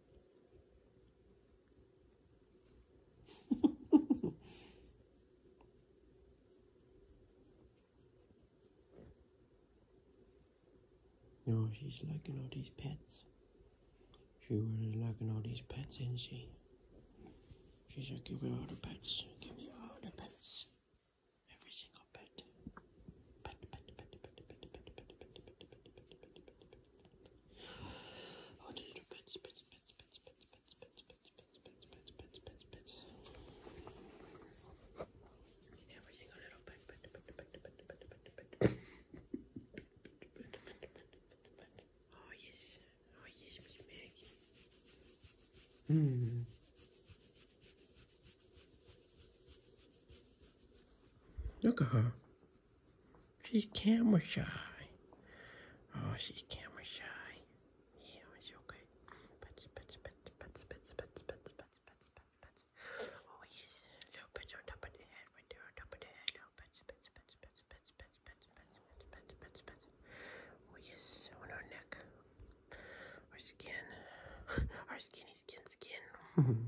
no, she's liking all these pets. She really liking all these pets, isn't she? She's like, give me all the pets. Give me all the pets. Every single pet. Everything a little bit, Oh yes, oh yes, Miss Maggie. Hmm. Look at her. She's camera shy. Oh, she's camera shy. Yeah, it's okay. Oh, yes. Little bits on top of the head. Right there on top of the head. Oh, yes. On her neck. Her skin. her skinny skin skin.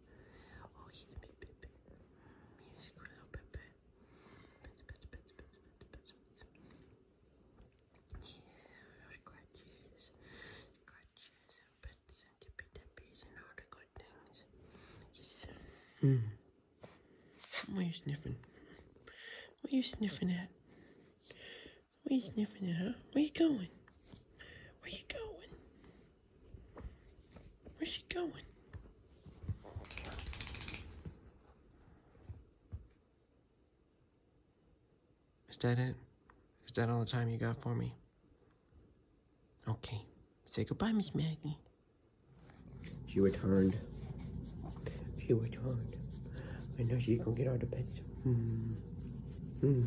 Oh, he's a bit, bit, bit. He's a little bit, bit. Bit, bit, bit, bit, bit, bit. Yeah, scratches, scratches, and bits, and tippy tippies, and all the good things. Yes. Mm. What are you sniffing? What are you sniffing at? What are you sniffing at, huh? Where you going? Where you going? Where's she going? Is that it? Is that all the time you got for me? Okay. Say goodbye, Miss Maggie. She returned. She returned. I know she's gonna get out of bed. Mm. Mm.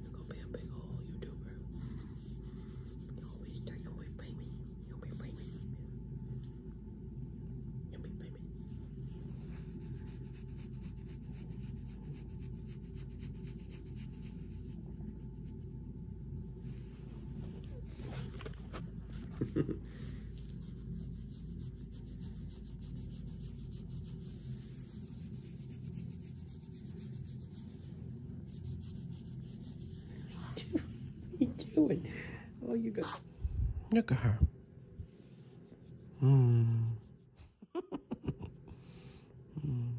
You're gonna be a big ol' YouTuber. You'll be taking away payment. You'll be payment. You'll be payment. What are you doing? Oh, you got. Look at her. Hmm. hmm.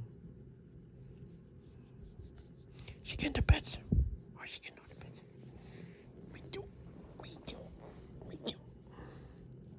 She can the beds. Or oh, she can not the beds. We do. We do. We do.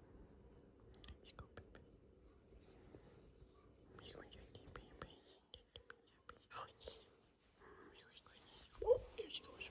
You You here she goes.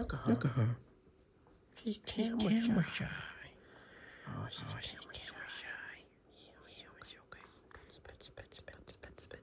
Look at her. Look at her. She can't camera shy. shy. Oh, she's, oh, camera, she's shy skin, skin, skin. Give it a little bit. Dip it, dip it, dip it, dip it.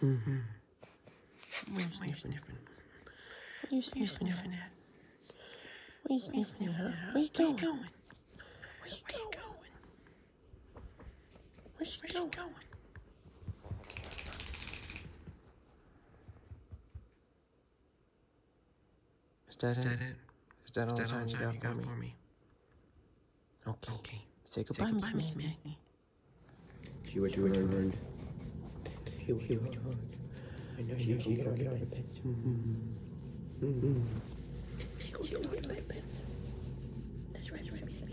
hmm We're sniffing. What are you sniffing, sniffing at? What are you sniffing Where are you going? Where are you Where's she going? Where's she going? Is that, Is that it? it? Is that all Is that the time, all you, time got you got, for, me? For me? Okay. okay. Say goodbye, Say goodbye Miss May. She would do it. She would do it. I know she would get out of her pits. She would get out of her pits. That's right, that's right.